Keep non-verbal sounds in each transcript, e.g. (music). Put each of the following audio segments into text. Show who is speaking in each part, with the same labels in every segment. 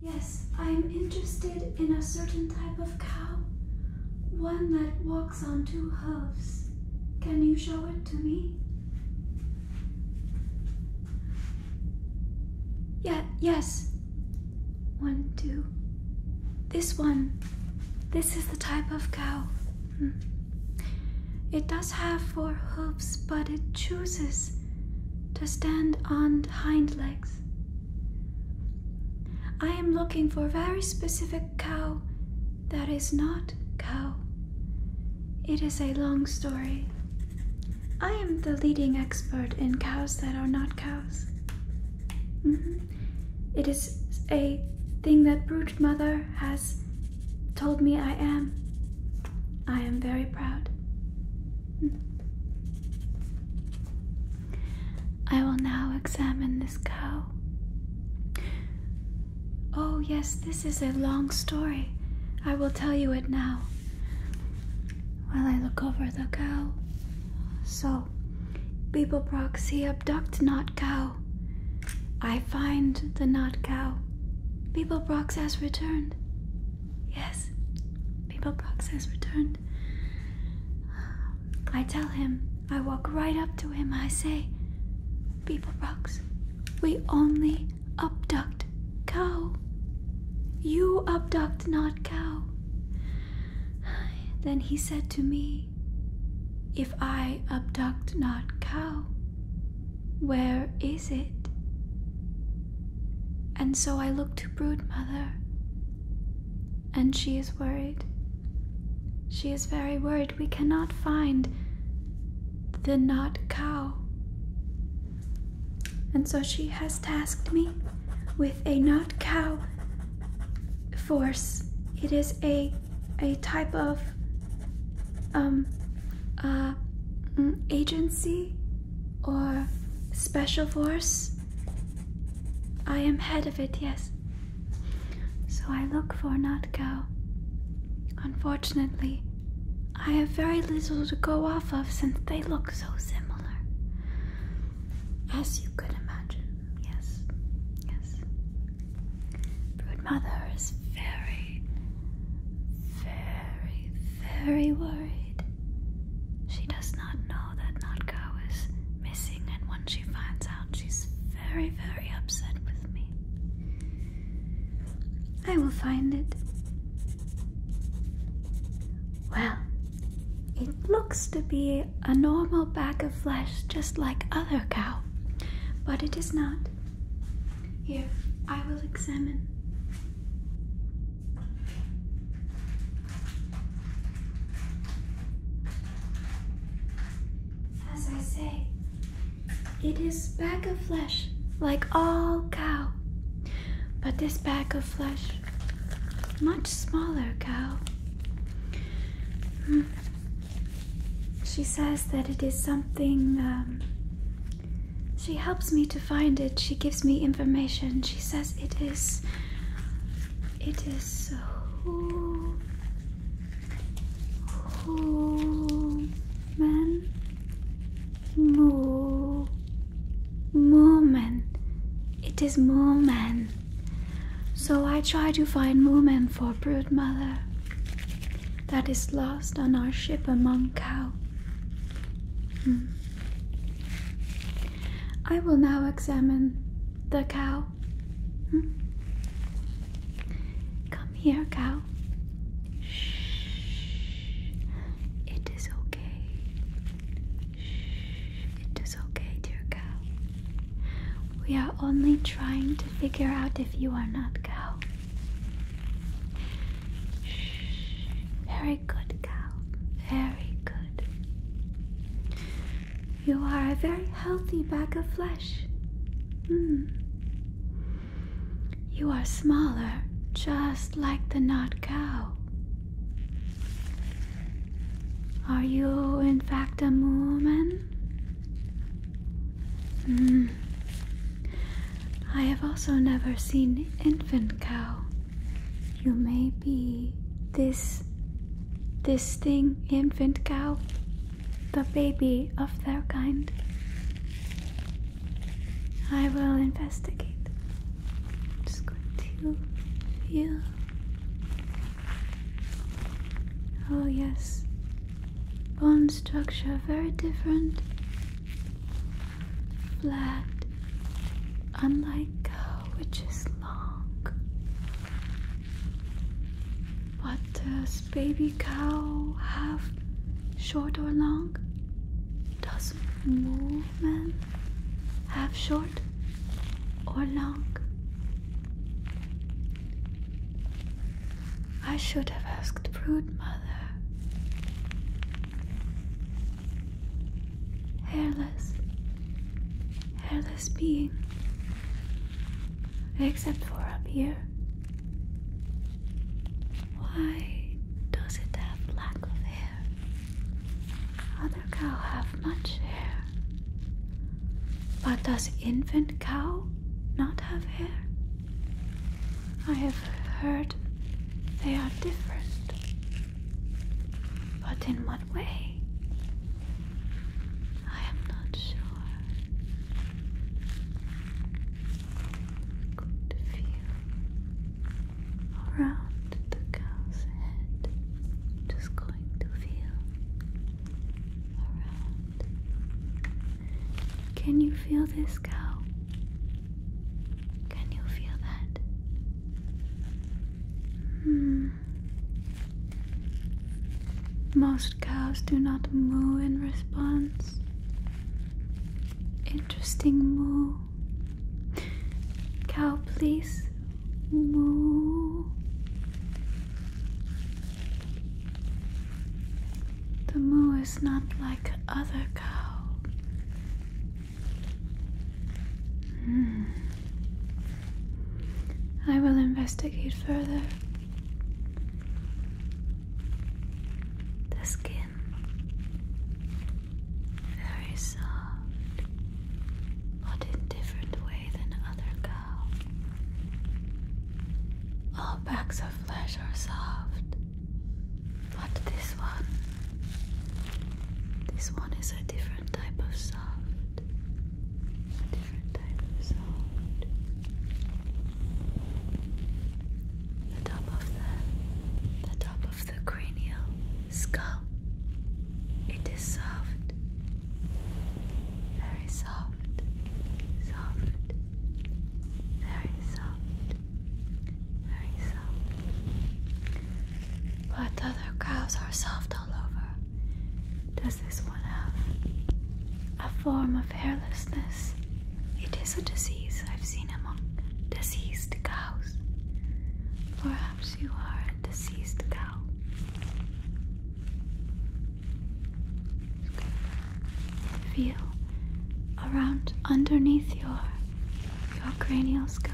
Speaker 1: Yes, I'm interested in a certain type of cow, one that walks on two hooves. Can you show it to me? Yeah, yes. One, two. This one. This is the type of cow. Hmm. It does have four hooves, but it chooses to stand on hind legs. I am looking for a very specific cow that is not cow. It is a long story. I am the leading expert in cows that are not cows. Mm-hmm. It is a thing that Brute Mother has told me I am. I am very proud. Hmm. I will now examine this cow. Oh, yes, this is a long story. I will tell you it now. While I look over the cow. So, Beeblebrox, he abduct not cow. I find the not cow. Beeblebrox has returned. Yes, People Box has returned. I tell him, I walk right up to him, I say, People Box, we only abduct cow. You abduct not cow. Then he said to me, If I abduct not cow, where is it? And so I looked Brood mother, and she is worried. She is very worried. We cannot find the not cow. And so she has tasked me with a not cow force. It is a a type of um uh mm, agency or special force I am head of it, yes. So I look for not go. Unfortunately, I have very little to go off of since they look so similar. As you could imagine, yes, yes. Brood mother is very, very, very worried. She does not know that Notka is missing, and when she finds out, she's very, very upset with me. I will find it. Well, it looks to be a normal bag of flesh just like other cow, but it is not. Here, I will examine. As I say, it is bag of flesh, like all cow. But this bag of flesh, much smaller cow. Hmm. She says that it is something. Um, she helps me to find it. She gives me information. She says it is it is so Moment, mo, moment. It is moment. So I try to find moment for brood mother that is lost on our ship among cow. Hmm. I will now examine the cow. Hmm? Come here, cow. Shh. It is okay. Shh. It is okay, dear cow. We are only trying to figure out if you are not cow. Very very good, cow. Very good. You are a very healthy bag of flesh. Hmm. You are smaller, just like the not cow. Are you, in fact, a woman? Hmm. I have also never seen infant cow. You may be this this thing, infant cow, the baby of their kind. I will investigate. just going to feel. Oh, yes. Bone structure very different. Flat, unlike cow, which is Park. What does baby cow have? Short or long? Does movement have short or long? I should have asked brood mother hairless, hairless being, except for up here. Why does it have lack of hair? Other cow have much hair. But does infant cow not have hair? I have heard they are different. But in what what way? I am not sure. Good feel around the cow's head. Just going to feel around. Can you feel this cow? Can you feel that? Hmm. Most cows do not moo in response. Interesting moo. Cow, please. Moo. The moo is not like other cow. Hmm. I will investigate further. The skin, very soft, but in different way than other cow. All backs of flesh are soft, but this one, this one is a different different type of soft. different type of soft. The top of the the top of the cranial skull. It is soft. Very soft. Soft. Very soft. Very soft. But other cows are soft all over. Does this one have a form of hairlessness? It is a disease I've seen among diseased cows. Perhaps you are a diseased cow. Feel around underneath your your cranial skull.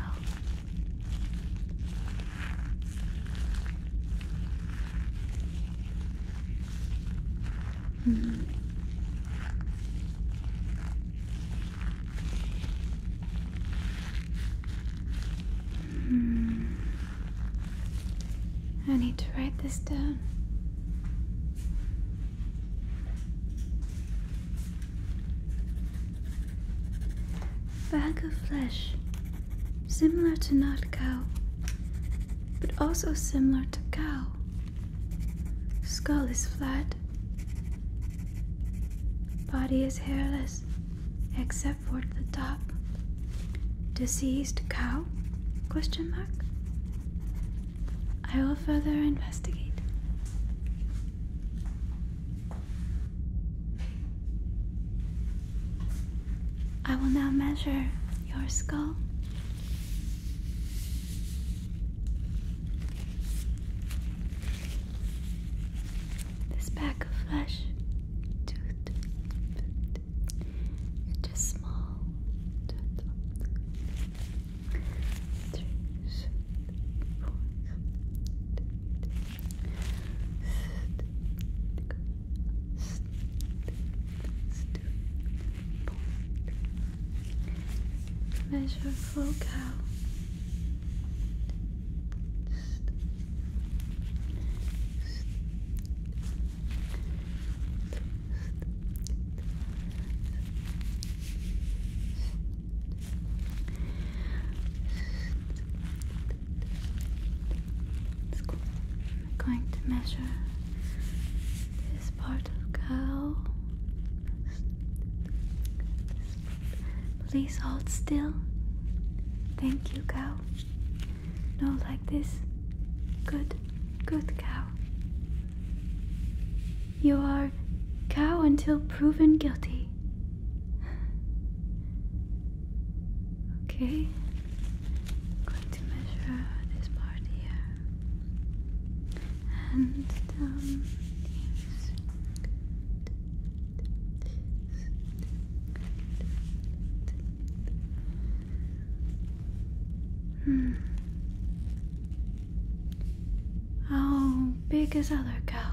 Speaker 1: Mm. Mm. I need to write this down. Bag of flesh, similar to not cow, but also similar to cow. Skull is flat, body is hairless except for the top. Deceased cow? Question mark. I will further investigate. I will now measure your skull. This pack of flesh, tooth, and small three, four, Measure full I'm going to measure this part of cow. Please hold still. Thank you, cow. No, like this. Good, good cow. You are cow until proven guilty. Okay. going to measure this part here. And down um, hmm. How big is other cow?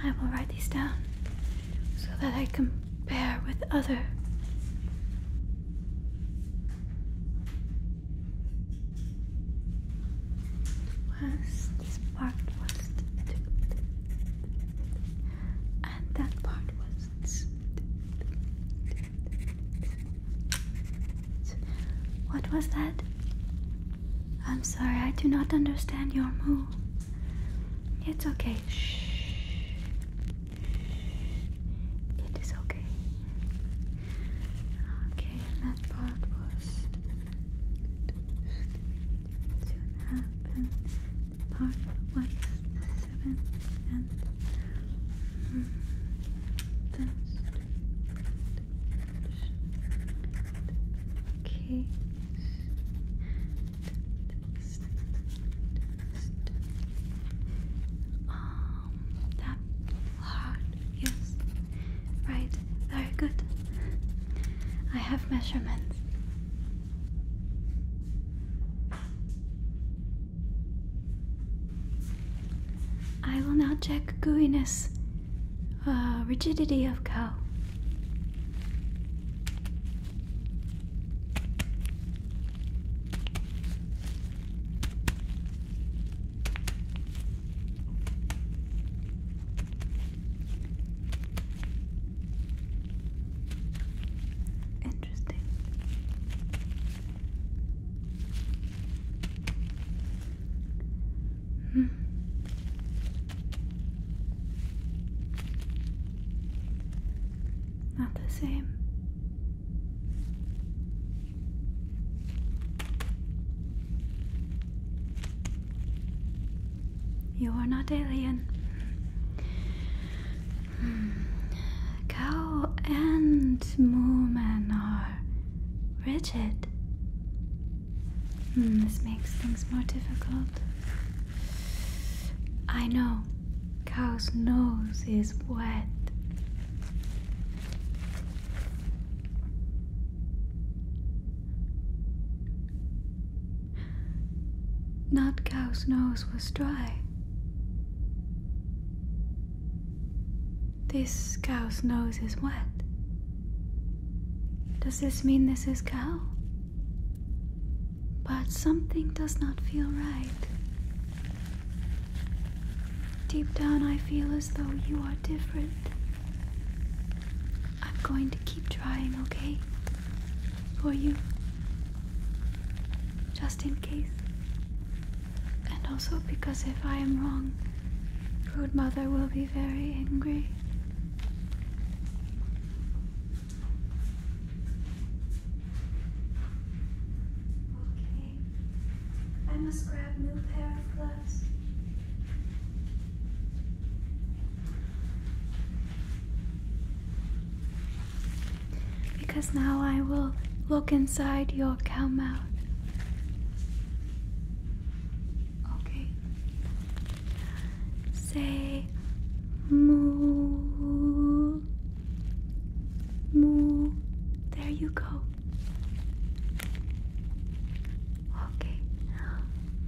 Speaker 1: I will write these down so that I can compare with other and that part was what was that? I'm sorry, I do not understand your move. It's okay. Shh. It is okay. Okay, that part was soon happen. Part one, seven, and mm, case. Um, that hard, yes. Right, very good. I have measurements. I will now check gooiness, uh, rigidity of cow. Interesting. Hmm. Not the same. You are not alien. Cow hmm. and woman are rigid. Hmm, this makes things more difficult. I know. Cow's nose is wet cow's nose was dry. This cow's nose is wet. Does this mean this is cow? But something does not feel right. Deep down, I feel as though you are different. I'm going to keep trying, okay? for you, just in case. And also because if I am wrong, good Mother will be very angry. Okay. I must grab new pair of gloves. Because now I will look inside your cow mouth. Okay. Say moo. Moo. There you go. Okay.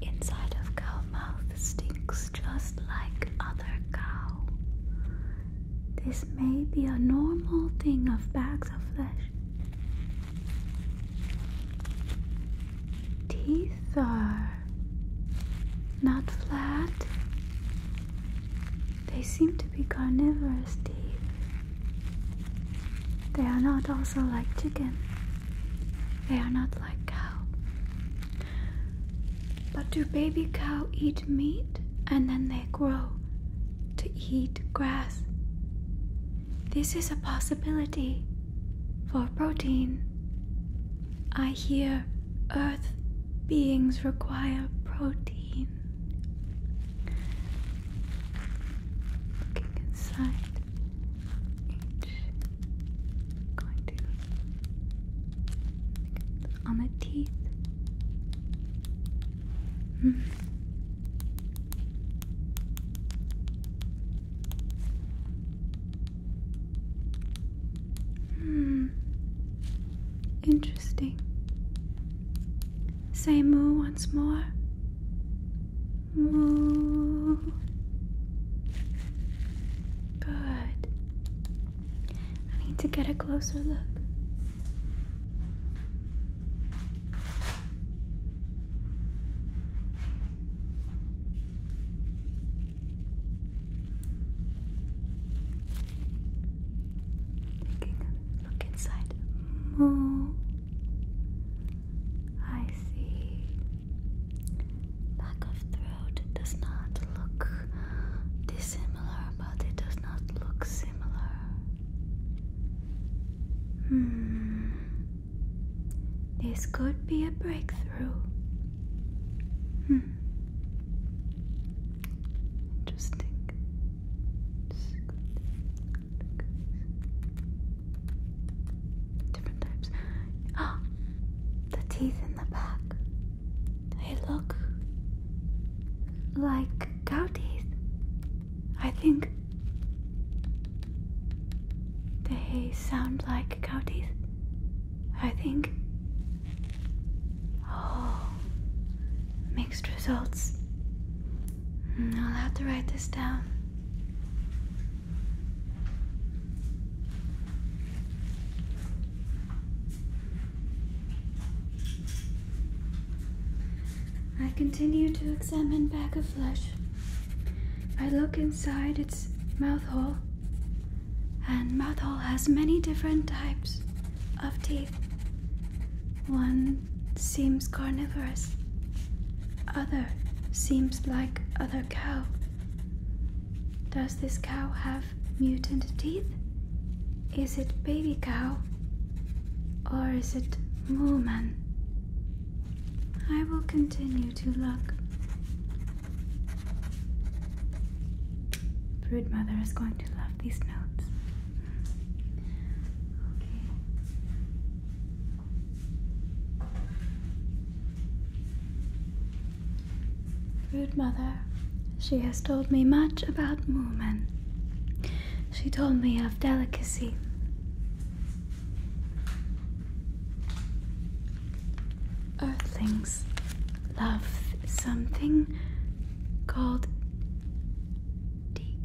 Speaker 1: Inside of cow mouth stinks just like other cow. This may be a normal thing of bags of flesh. Teeth are not flat. They seem to be carnivorous teeth. They are not also like chicken. They are not like cow. But do baby cow eat meat and then they grow to eat grass? This is a possibility for protein. I hear earth beings require protein. Looking inside each going to on the teeth. Mm. Hmm. Interesting. Say moo once more. Moo. Good. I need to get a closer look. Taking a look inside. Moo. I see. Back of throat does not look dissimilar, but it does not look similar. Hmm. This could be a breakthrough. Hmm. Interesting different types. Oh, (gasps) the teeth in the back. They look like cow I think they sound like cow I think. Oh, mixed results. Mm, I'll have to write this down. I continue to examine bag of flesh. I look inside its mouth hole, and mouth hole has many different types of teeth. One seems carnivorous, other seems like other cow, does this cow have mutant teeth? Is it baby cow? Or is it woman? I will continue to look. mother is going to love these notes. Rude mother, she has told me much about women. She told me of delicacy. Earthlings love something called tea.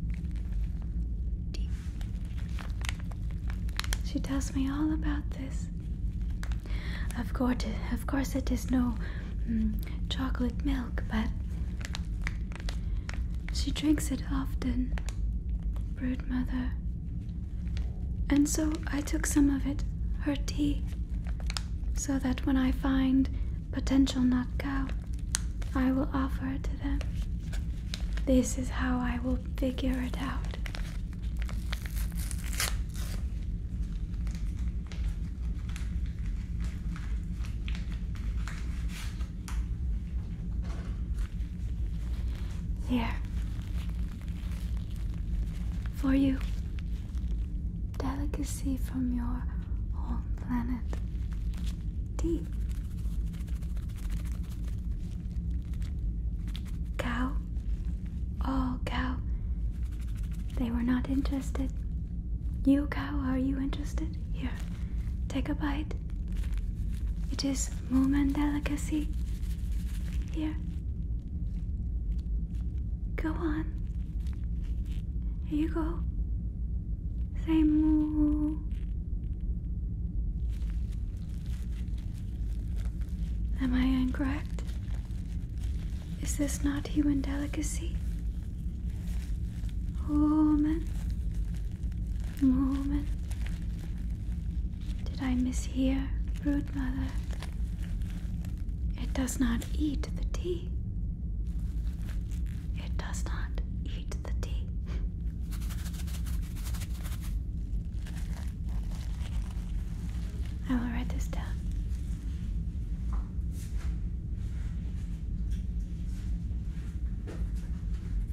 Speaker 1: tea. She tells me all about this. Of course, of course, it is no mm, chocolate milk, but she drinks it often, brood mother. And so I took some of it, her tea, so that when I find potential nut cow, I will offer it to them. This is how I will figure it out. Here. For you. Delicacy from your home planet. Tea cow? Oh, cow. They were not interested. You, cow, are you interested? Here, take a bite. It is moo man delicacy. Here. Go on. Here you go. Say moo. Am I incorrect? Is this not human delicacy? Woman, woman, did I mishear, brood mother? It does not eat the tea. It does not eat the tea. I will write this down.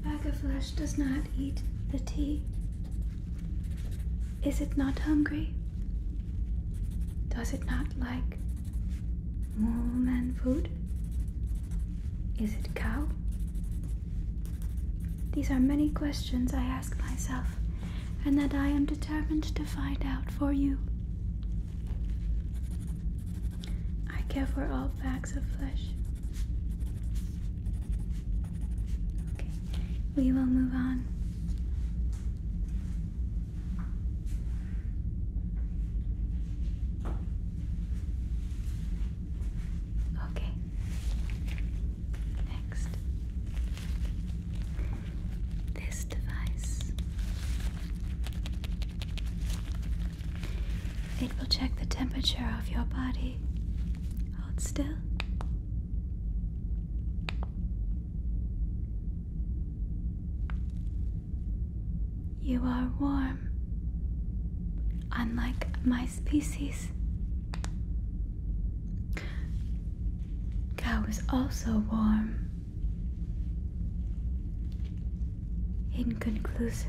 Speaker 1: Bag of flesh does not eat the tea. Is it not hungry? Does it not like mole man food? Is it cow? These are many questions I ask myself and that I am determined to find out for you. I care for all bags of flesh. Okay, we will move on. Okay, Next, this device. It will check the temperature of your body. Hold still. You are warm, unlike my species. Cow is also warm. Inconclusive.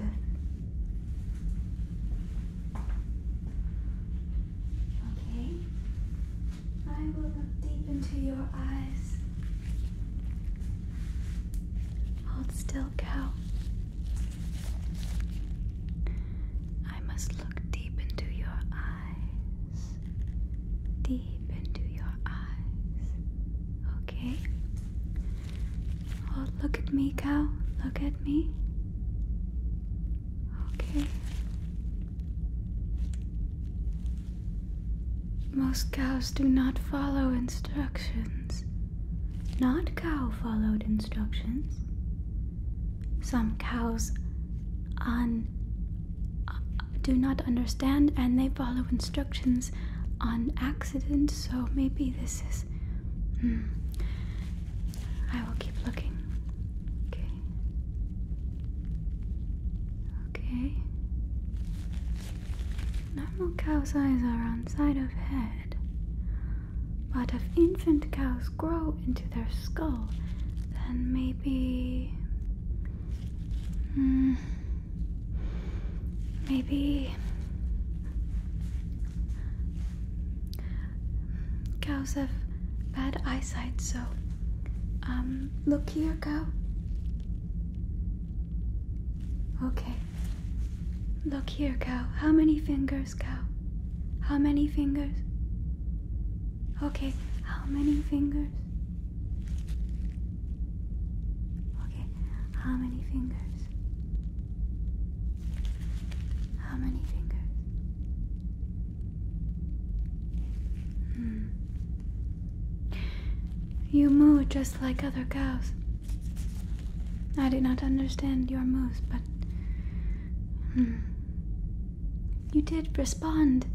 Speaker 1: Okay. I will look deep into your eyes. Hold still, cow. I must look deep into your eyes deep into your eyes. Okay? Oh, look at me, cow. Look at me. Okay. Most cows do not follow instructions. Not cow followed instructions. Some cows un do not understand and they follow instructions on accident, so maybe this is. Mm, I will keep looking. Okay. Okay. Normal cow's eyes are on side of head, but if infant cows grow into their skull, then maybe Hmm. Maybe. Cows have bad eyesight, so. Um, look here, cow. Okay. Look here, cow. How many fingers, cow? How many fingers? Okay, how many fingers? Okay, how many fingers? How many fingers? Hmm. You moo just like other cows. I did not understand your moves, but. Hmm. You did respond,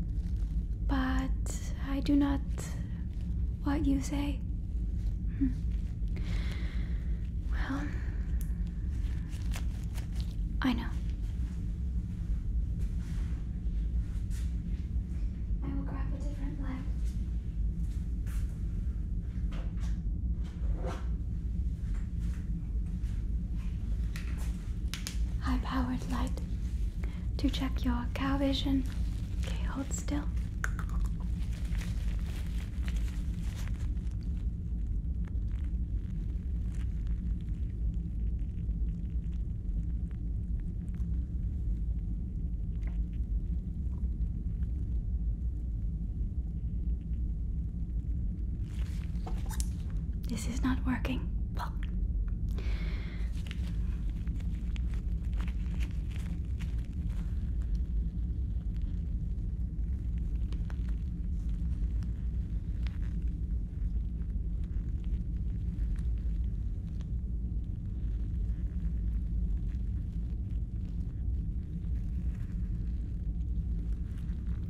Speaker 1: but I do not. What you say? Hmm. Well, I know. I will grab a different leg high powered light to check your cow vision. Okay, hold still. This is not working. Well,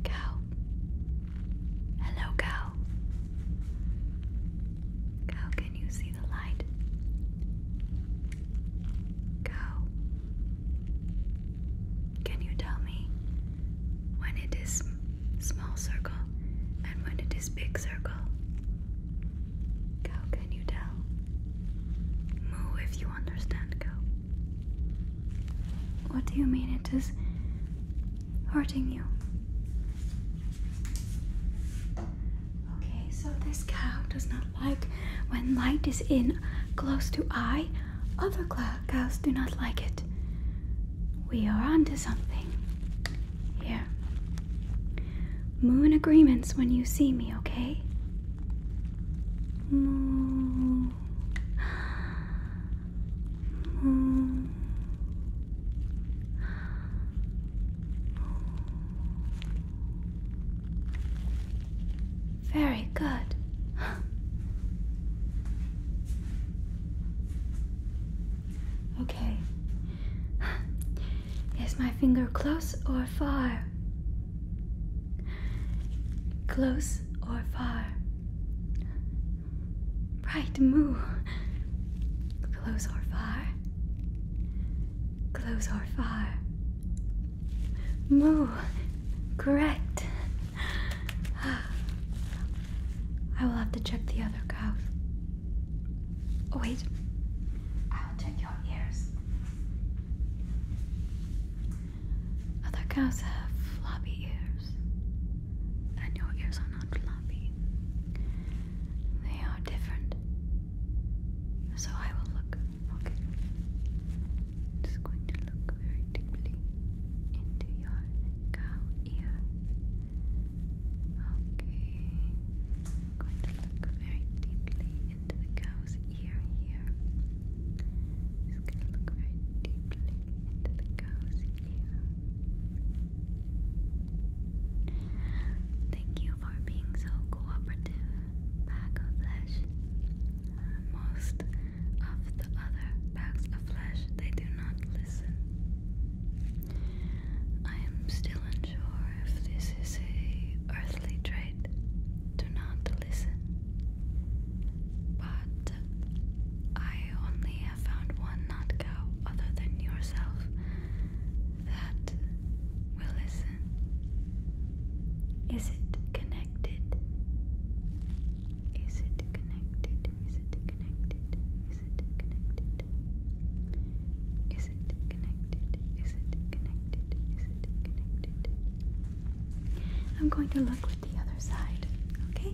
Speaker 1: go Hello, cow. Cow, can you see the light? Cow, can you tell me when it is small circle and when it is big circle? Cow, can you tell? Moo if you understand, cow. What do you mean it is hurting you. Okay, so this cow does not like when light is in close to eye. Other cows do not like it. We are onto something here. Moon agreements when you see me, okay? Moo. Hmm. Very good. (gasps) Okay. (gasps) Is my finger close or far? Close or far? Right moo. Close or far. Close or far. Moo. Correct. I will have to check the other cow. Oh, wait. I'll check your ears. Other cows have floppy ears. And your ears are not floppy. They are different. So I will look, okay? just going to look very deeply into your cow ear. Okay. going to look very deeply into the cow's ear here. Just going to look very deeply into the cow's ear. Thank you for being so cooperative, bag of flesh. Most of the other bags of flesh, they do not listen. I am still unsure if this is a earthly trait. Do not listen. But I I only have found one not cow other than yourself that will listen. Is it connected? Is it connected? Is it connected? Is it connected? Is it connected? Is it connected? Is it connected? I'm going to look with the other side, okay?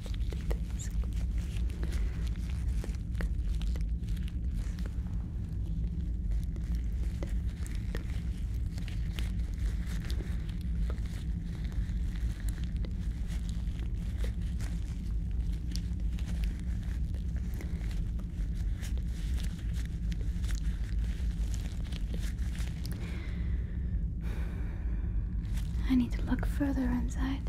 Speaker 1: I need to look further inside.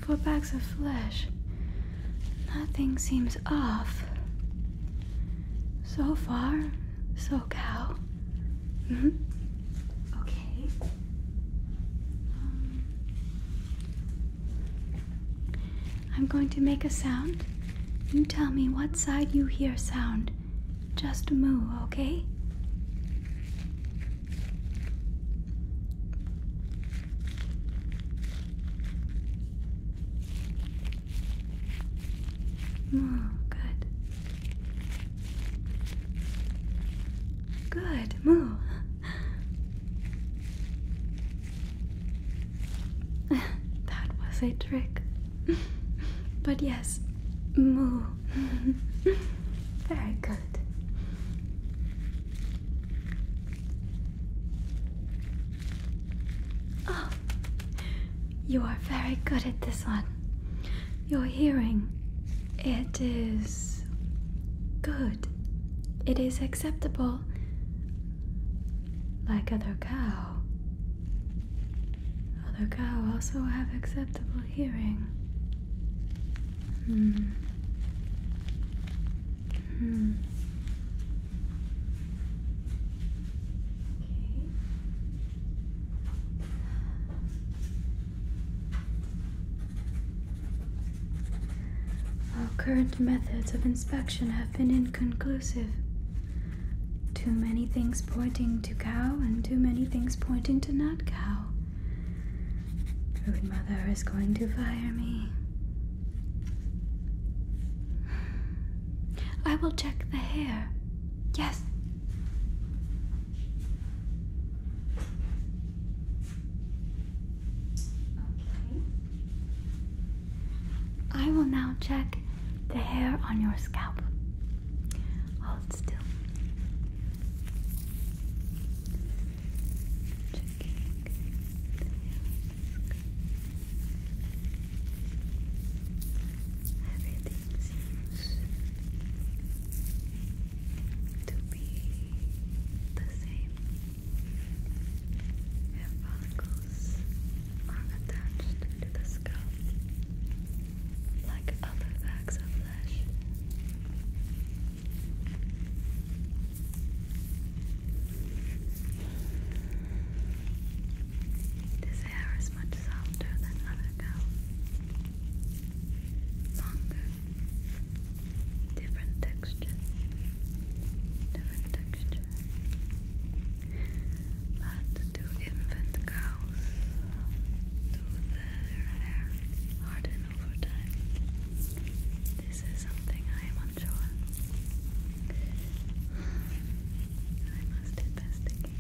Speaker 1: four bags of flesh. Nothing seems off. So far, so cow. Mm-hmm. Okay. Um, I'm going to make a sound. You tell me what side you hear sound. Just moo, okay? Oh, good. Good, moo. (laughs) that was a trick. (laughs) but yes, moo. (laughs) Very good. Oh, you are very good at this one. Your hearing, it is good. It is acceptable. Like other cow. Other cow also have acceptable hearing. Hmm. Hmm. Our current methods of inspection have been inconclusive. Too many things pointing to cow and too many things pointing to not cow. Food Mother is going to fire me. I will check the hair. Yes. Okay. I will now check the hair on your scalp. Hold still. Everything seems to be the same. Your follicles are attached to the scalp like other bags of flesh. This hair is much softer than other cows. Longer. Different texture. Different texture. But to infant cows, to their hair hardens channel for time. This is something I am unsure. I must investigate.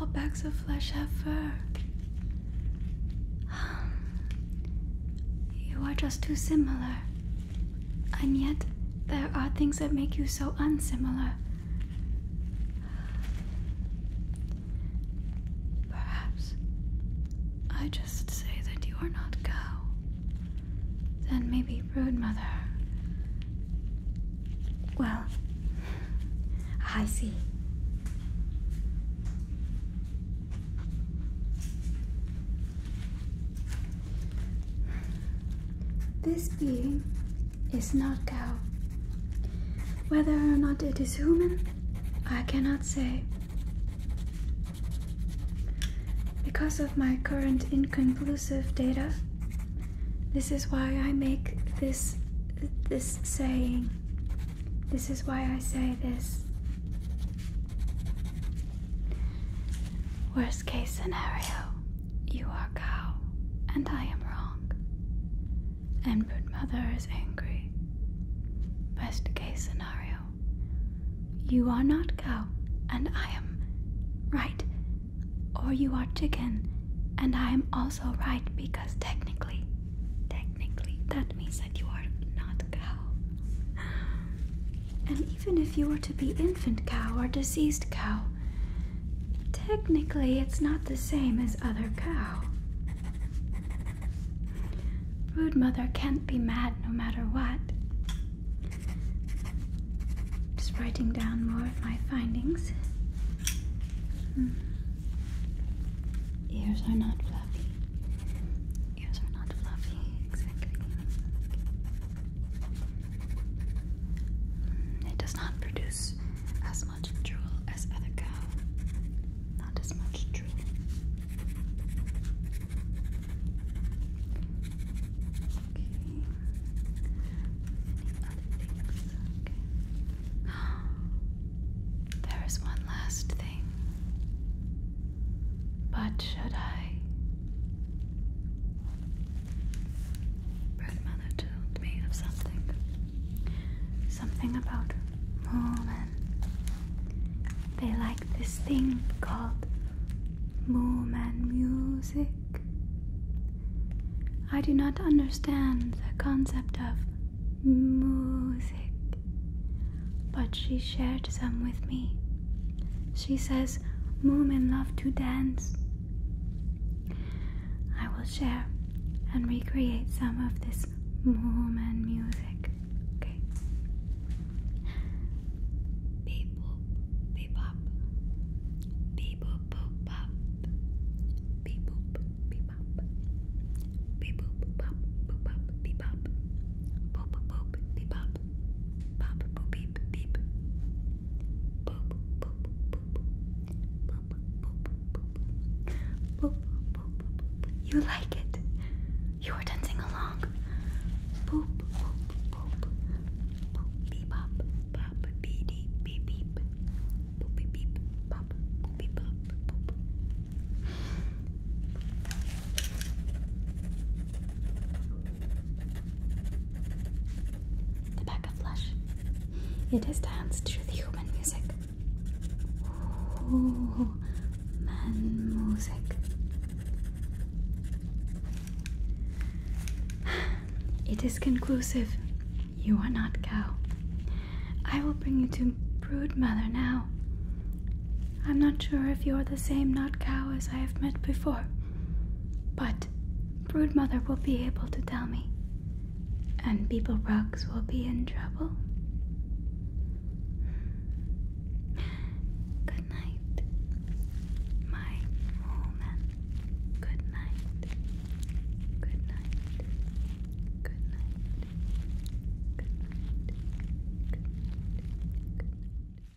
Speaker 1: All bags of flesh have fur. (sighs) You are just too similar. And yet, there are things that make you so unsimilar. Perhaps I just say that you are not cow. Then maybe rude mother. Well, I see. This being is not cow. Whether or not it is human, I cannot say. Because of my current inconclusive data, this is why I make this this saying. This is why I say this. Worst case scenario, you are cow and I am wrong. And brood mother is angry. Best case scenario, you are not cow and I am right. Or you are chicken and I am also right because technically, technically, that means that you are not cow even if you were to be infant cow or deceased cow, technically it's not the same as other cow. mother can't be mad no matter what. Just writing down more of my findings. Hmm. Ears are not fluffy. Ears not fluffy, exactly. Mm, it does not produce as much drool as other cow. Not as much drool. Okay. Any other things? Okay. (gasps) There is one last thing. But should I? Grandmother told me of something. Something about Moomin. They like this thing called Moomin music. I do not understand the concept of music, but she shared some with me. She says, "Moomin love to dance. I will share and recreate some of this Moomin music. Okay. Beep boop, beep up. Beep boop, boop up. Beep boop, beep up. Beep boop, boop up, boop up, beep up. Boop boop, beep up. Pop boop, beep beep, beep. Boop, boop, boop. Boop, boop, boop. Boop, boop, boop. You like it. You are dancing along. Boop, boop, boop. Boop, beep, bop, bop, beep, beep, Boop, beep, beep, boop, beep, bop, boop. The back of flesh. It is danced to the human music. Ooh, man music. It is conclusive. You are not cow. I will bring you to brood mother now. I'm not sure if you're the same not cow as I have met before. But Broodmother will be able to tell me, and Beeble Rocks will be in trouble. Good night, my woman. Good night. Good night. Good night. Good night. Good night. Good night.